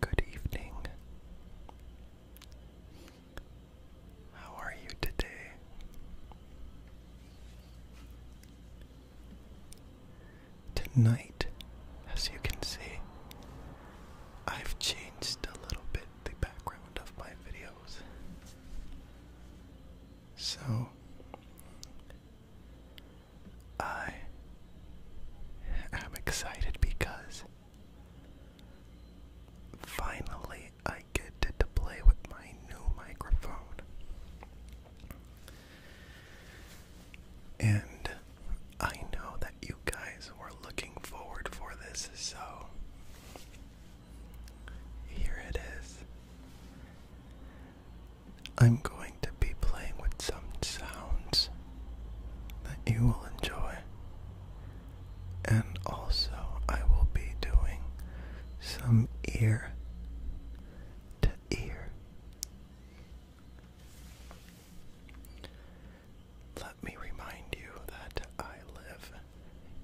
Good evening. How are you today? Tonight, as you can see, I've changed a little bit the background of my videos. So, I am excited because finally I. I get to play with my new microphone. And I know that you guys were looking forward for this, so here it is. I'm going to be playing with some sounds that you will enjoy, and also I will be doing some ear to ear. Let me remind you that I live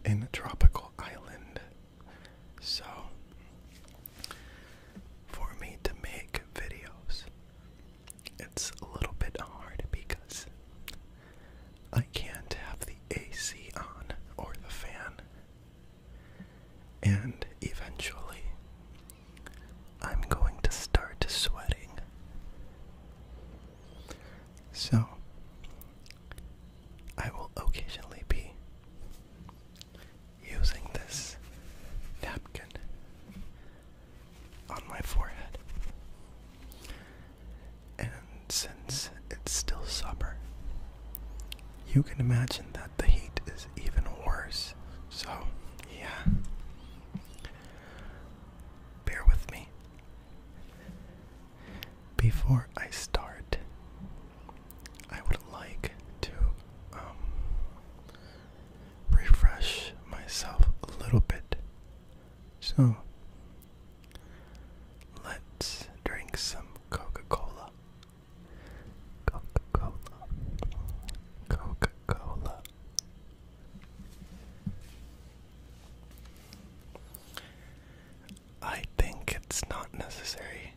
in a tropical island. So, for me to make videos, it's a little bit hard because I can't have the AC on or the fan and eventually, I'm going to start sweating. So, I will occasionally be using this napkin on my forehead. And it's still supper. you can imagine that the heat is even worse. So, yeah. Bear with me. Before I start, I would like to um, refresh myself a little bit. So, let's drink some Coca Cola. Coca-Cola. Coca-Cola. I think it's not necessary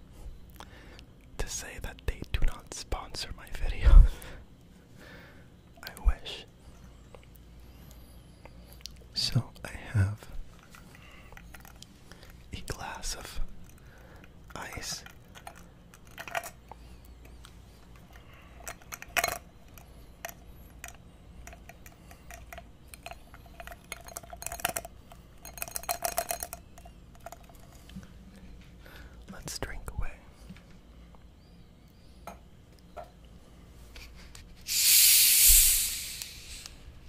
to say that they do not sponsor my videos. I wish. So I have a glass of ice. Let's drink away.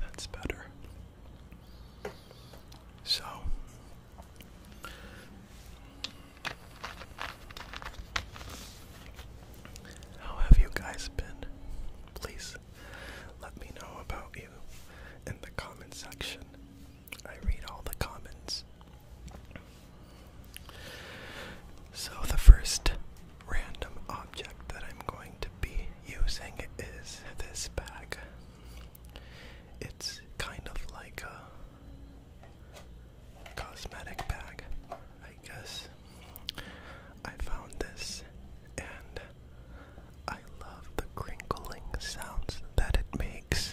That's better. So how have you guys been? Please let me know about you in the comment section. I read all the comments. So, the first random object that I'm going to be using is this bag. It's kind of like a cosmetic bag, I guess. I found this and I love the crinkling sounds that it makes.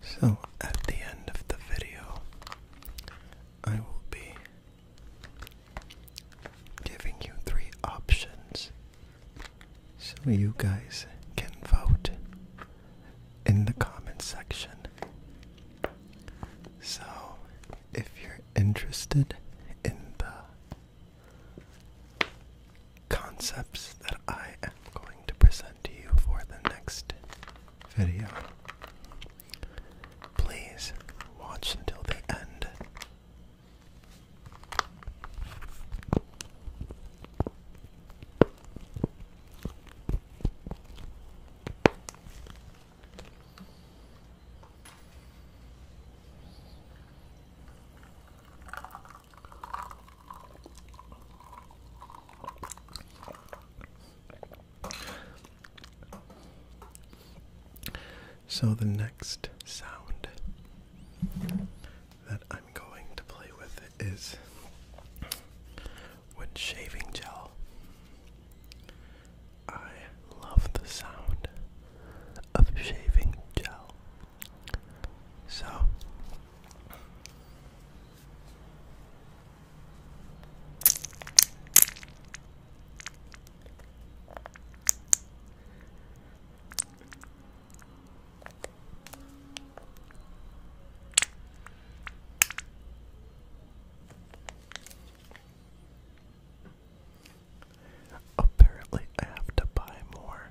So, at the end of the video, I will be giving you three options so you guys can vote in the comment section. So, if you're interested in the concepts that I am going to present to you for the next video. Please watch until the end. So, the next sound that I'm going to play with is wood shaving gel. I love the sound of shaving gel. So Apparently, I have to buy more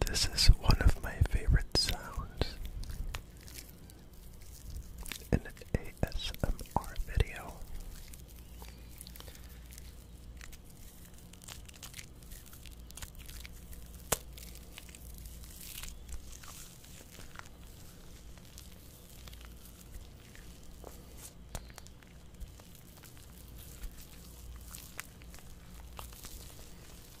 This is one of my favorite sounds in an ASMR video.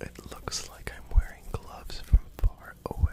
It looks like I'm wearing gloves from far away.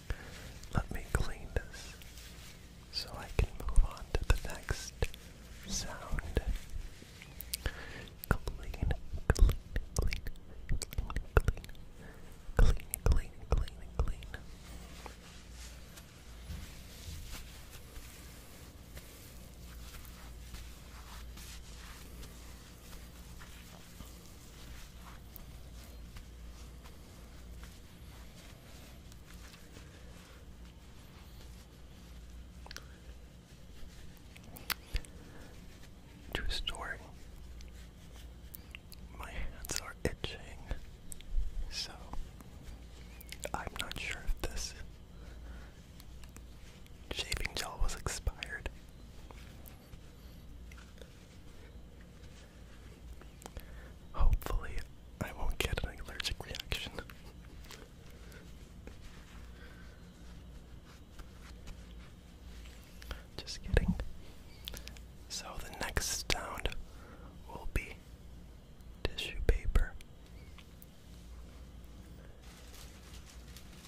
Let me clean this so I can move on to the next sound. Clean, clean, clean, clean, clean, clean, clean, clean, True story. My hands are itching, so I'm not sure if this shaving gel was expired. Hopefully, I won't get an allergic reaction. Just kidding. So, the next sound will be tissue paper.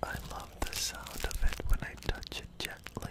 I love the sound of it when I touch it gently.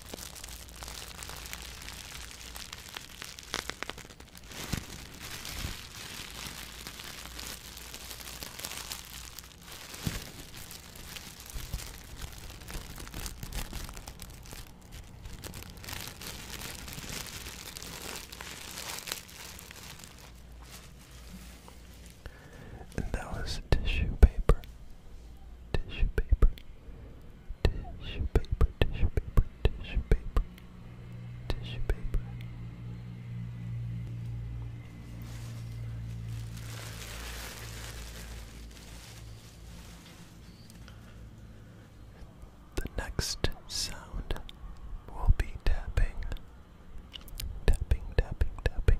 And that was tissue paper. Tissue paper. Tissue paper, tissue paper, tissue paper, tissue paper. The next sound will be tapping, tapping, tapping, tapping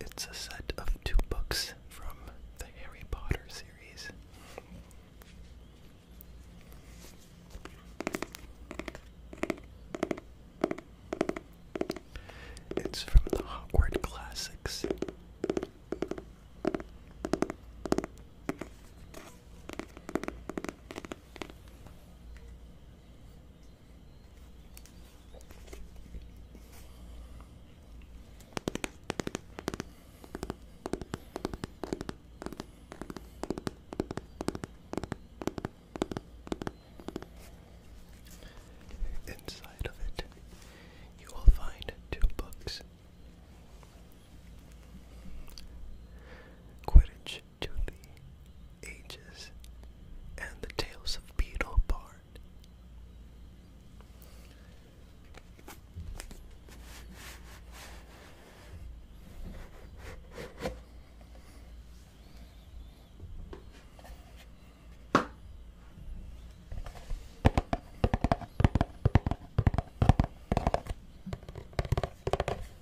It's a set of two books from the Harry Potter series. It's from the Hogwarts Classics. Inside of it, you will find two books. Quidditch to the ages and the tales of Beetle Barn.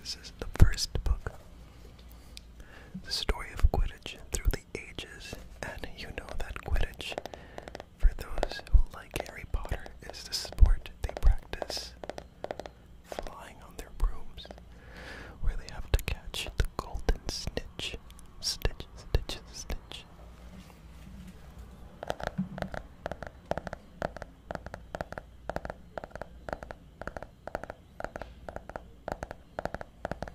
This is the first book. The story of Quidditch through the the ages, and you know that Quidditch, for those who like Harry Potter, is the sport they practice flying on their brooms, where they have to catch the golden snitch. Stitch, stitch, stitch.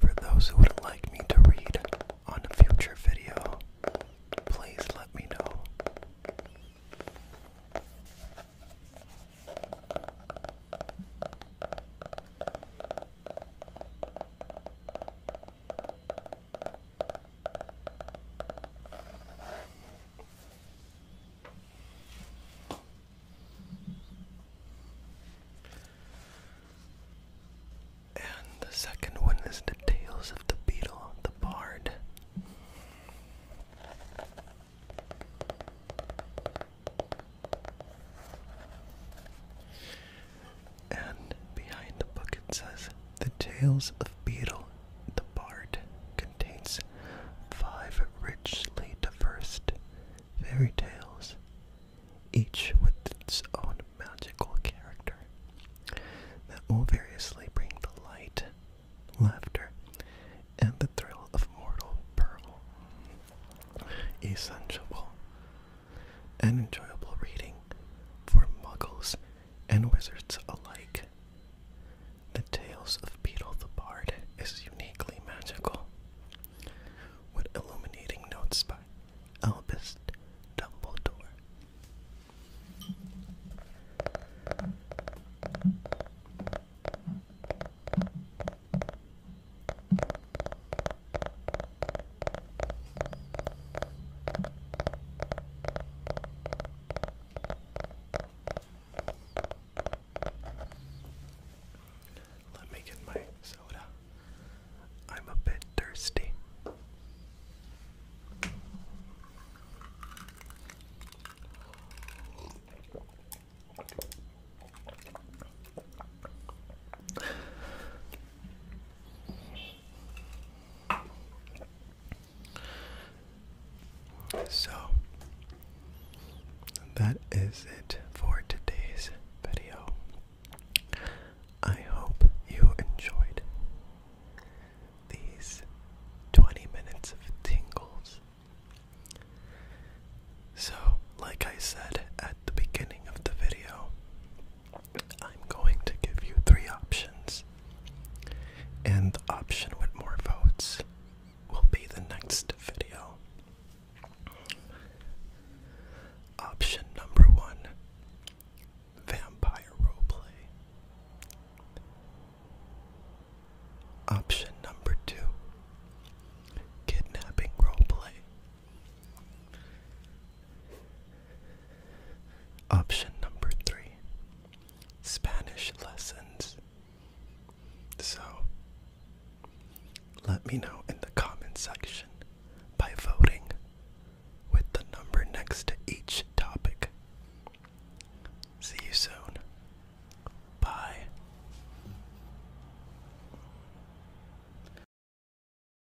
For those who would like me to read on a future video, please let me know. And the second one is the tales of the beetle, the bard and behind the book it says The Tales of Beetle the Bard contains five richly diverse fairy tales, each with its own magical character that will variously bring the light, laughter, and the thrill of mortal peril. Essential and enjoyable reading for muggles and wizards alike. The Tales of Beetle the Bard is uniquely magical, with illuminating notes by Albus Dumbledore. Let me get my soda. I'm a bit thirsty. So that is it for today's video. I hope you enjoyed these 20 minutes of tingles. So, like I said at the beginning of the video, I'm going to give you three options, and the option with more votes will be the next video. Option number one Vampire Roleplay. Option number two Kidnapping Roleplay. Option number three Spanish lessons. So, let me know in the comment section by voting with the number next to each topic. See you soon. Bye.